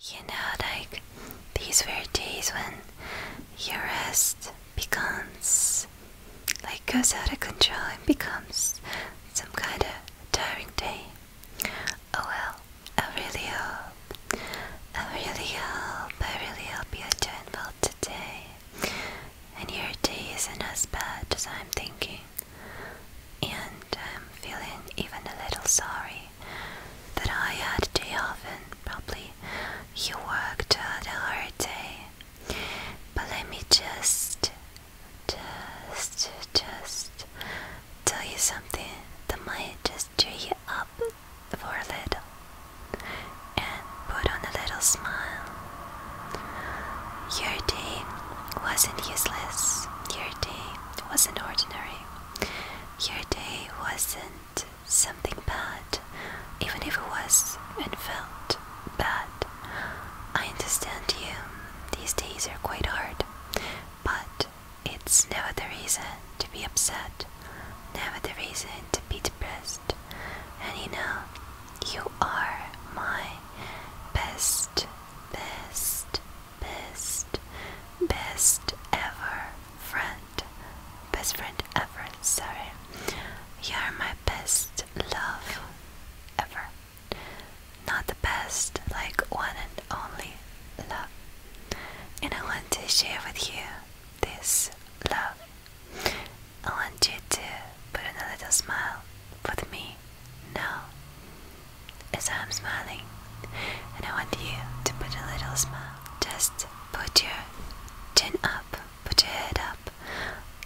You know, like these were days when your rest becomes like goes out of control and becomes some kind of tiring day. Oh well, I really hope, I really hope, I really hope you are doing well today, and your day isn't as bad as I'm thinking, and I'm feeling even a little sorry that I had too often, probably. You worked out a hard day. But let me just, just, just tell you something that might just cheer you up for a little and put on a little smile. Your day wasn't useless, your day wasn't ordinary. Your day wasn't something bad, even if it was and felt bad. I understand you. These days are quite hard, but it's never the reason to be upset, never the reason to be depressed. And you know, you are my best, best, best, best ever friend, best friend ever, sorry. You are my best love ever. Not the best, like one and only love. And I want to share with you this love. I want you to put another little smile with me now as I'm smiling, and I want you to put a little smile. Just put your chin up, put your head up,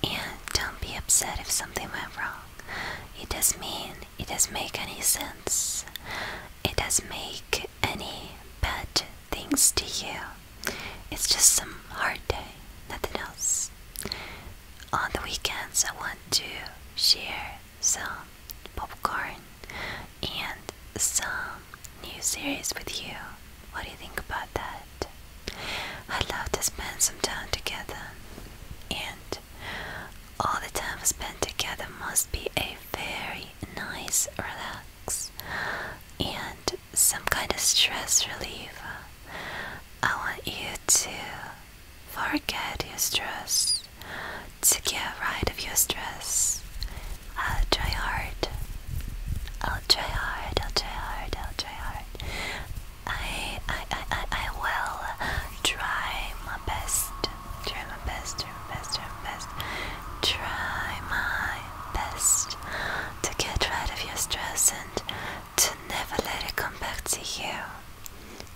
and don't be upset if something went wrong. It doesn't mean it doesn't make any sense. It doesn't make any bad things to you. It's just some hard day, nothing else. On the weekends, I want to share some popcorn and some new series with you. What do you think about that? I'd love to spend some time together, and all the time we spend together must be a very nice relax and some kind of stress relief. I want you to forget your stress to get rid of your stress. I'll try hard. I'll try hard. I'll try hard. I'll try hard. I I I I, will try my best. Try my best. Try my best. Try my best. to get rid of your stress and to never let it come back to you.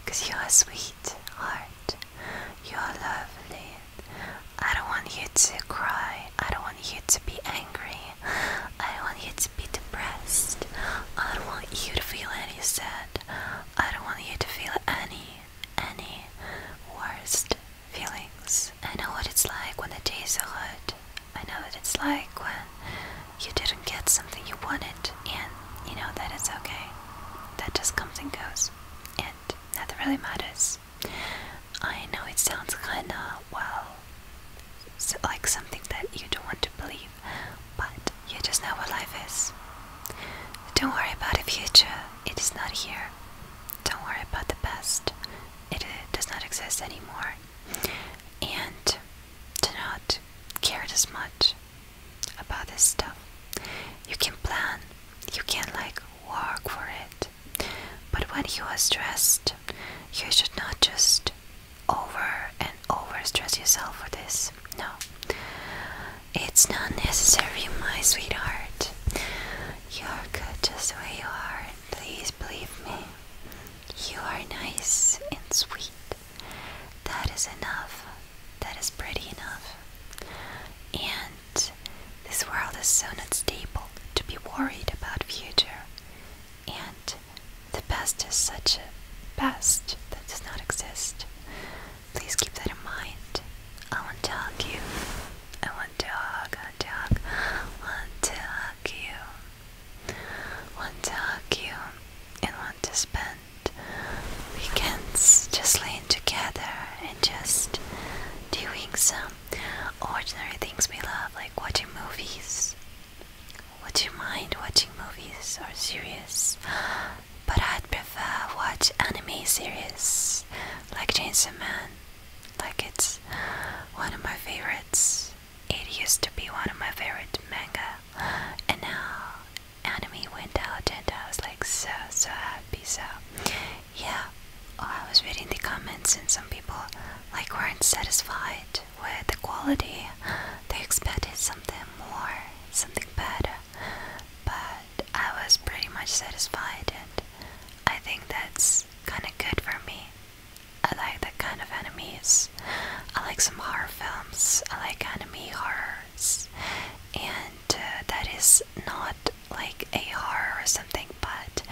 Cause you are sweet heart. You're lovely. I don't want you to cry. I don't want you to be angry. I don't want you to be depressed. I don't want you to feel any sad. I don't want you to feel any, any worst feelings. I know what it's like when the days are hard. I know what it's like when you didn't get something you wanted, and you know that it's okay. That just comes and goes and nothing really matters. I know it sounds kinda, well, so like something that you don't want to believe, but you just know what life is. Don't worry about the future, it is not here. Don't worry about the past, it, it does not exist anymore. And do not care as much about this stuff. You can plan, you can like work for it. But when you are stressed, you should not just over and over stress yourself for this. No. It's not necessary, my sweetheart. You're good just the way you are, and please believe me. You are nice and sweet. That is enough that is pretty enough. And this world is so unstable to be worried about future. And the best is such a past that does not exist. Please keep that in mind. I want to hug you. I want to hug, I want to hug, want to hug you. Want to hug you and want to spend we can just lean together and just doing some ordinary things we love, like watching movies. Would you mind watching movies or series? But I'd prefer watch anime series like Chainsaw Man. Like it's one of my favorites. It used to be one of my favorite manga, and now anime went out and I was like so so happy so yeah oh, I was reading the comments and some people like weren't satisfied with the quality they expected something more something better but I was pretty much satisfied and I think that's kinda good for me I like that kind of enemies I like some horror films I like anime horrors and uh, that is not like a horror or something, but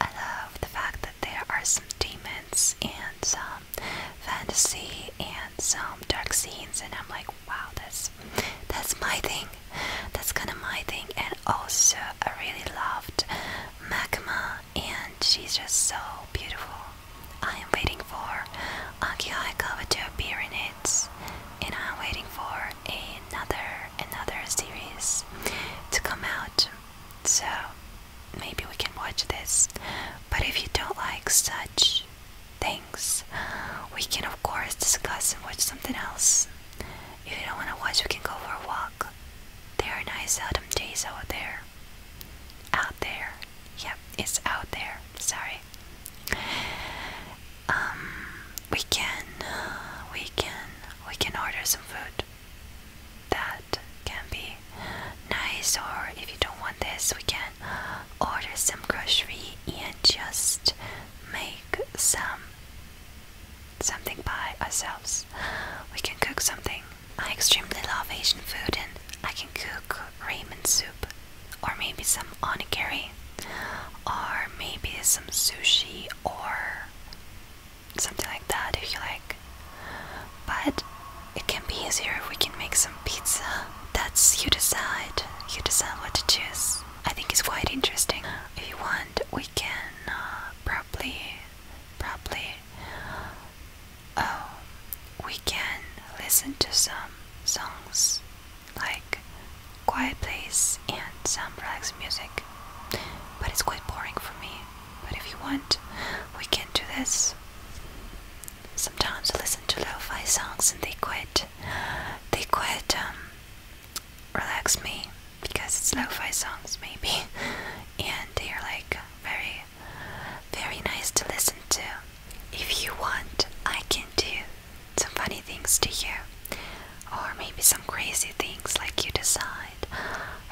I love the fact that there are some demons and some fantasy and some dark scenes, and I'm like, wow, that's that's my thing. That's kind of my thing. And also, I really loved Magma, and she's just so beautiful. I am waiting for Akiha covered to appear in it, and I'm waiting for another another series to come out. So maybe we can watch this. But if you don't like such things, we can of course discuss and watch something else. If you don't want to watch, we can go for a walk. There are nice autumn days out there. Out there. Yep, it's out there. Sorry um we can uh, we can we can order some food that can be nice or if you don't want this we can order some groceries and just make some something by ourselves we can cook something I extremely love Asian food and I can cook ramen soup or maybe some onigiri, or maybe some sushi or something like that if you like. But it can be easier if we can make some pizza. That's you decide. You decide what to choose. I think it's quite interesting. If you want, we can uh, probably, probably, oh, we can listen to some songs like quiet place and some relaxed music. But it's quite boring for me. But if you want, we can do this. Sometimes I listen to lo-fi songs and they quite, they quite um, relax me because it's lo-fi songs maybe, and they are like very, very nice to listen to. If you want, I can do some funny things to you, or maybe some crazy things like you decide.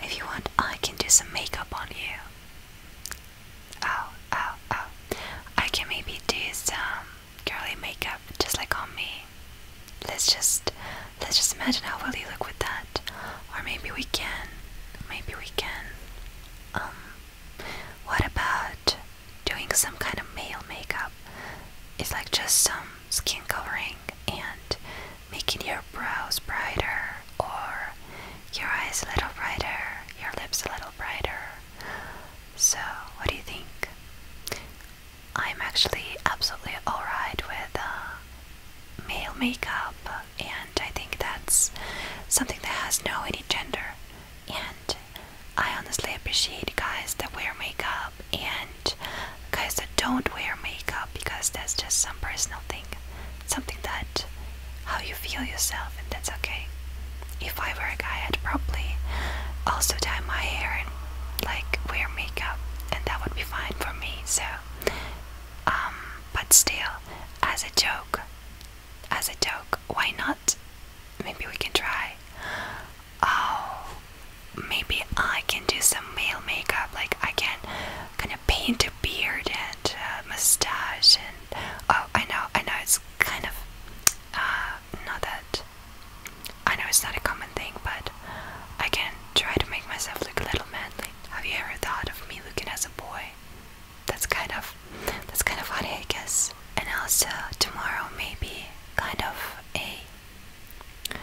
If you want, I can do some makeup on you. Oh, oh, oh. I can maybe do some girly makeup just like on me. Let's just let's just imagine how well you look with that. Or maybe we can maybe we can um what about doing some kind of male makeup its like just some skin covering and making your brows brighter or your eyes a little brighter, your lips a little brighter. So, what do you think? I'm actually absolutely alright with uh, male makeup, and I think that's something that has no any gender and I honestly appreciate guys that wear makeup and guys that don't wear makeup because that's just some personal thing. Something that how you feel yourself and that's okay. If I were a guy I'd probably also dye my hair and like wear makeup and that would be fine for me so um but still as a joke as a joke. Why not? Maybe we can try. Oh, maybe I can do some male makeup. Like I can kind of paint a beard and a mustache. And oh, I know, I know, it's kind of uh, not that. I know it's not a common thing, but I can try to make myself look a little manly. Have you ever thought of me looking as a boy? That's kind of that's kind of funny, I guess. And also, tomorrow may be kind of a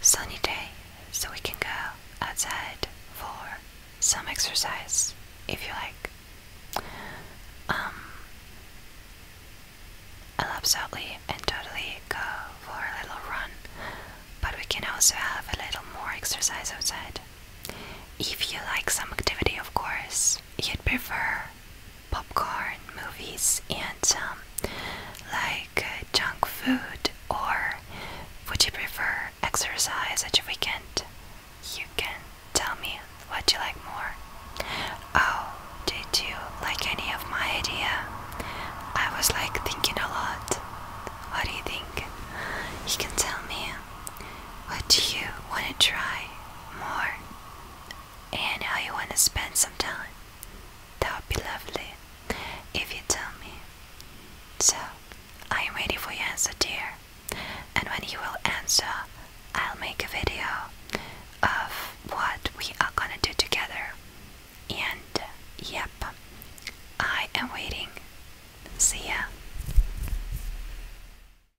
sunny day, so we can go outside for some exercise if you like. Um, I'll absolutely and totally go for a little run, but we can also have a little more exercise outside. If you like some activity, of course, you'd prefer popcorn movies and um, like uh, junk food, or would you prefer exercise at your weekend? You can tell me what you like more. Oh, did you like any of my idea? I was like thinking a lot. What do you think? You can tell me what do you want to try more and how you want to spend some time. That would be lovely if you tell me. So, I am waiting for your answer, dear. And when you will answer, I'll make a video of what we are gonna do together. And, yep, I am waiting. See ya.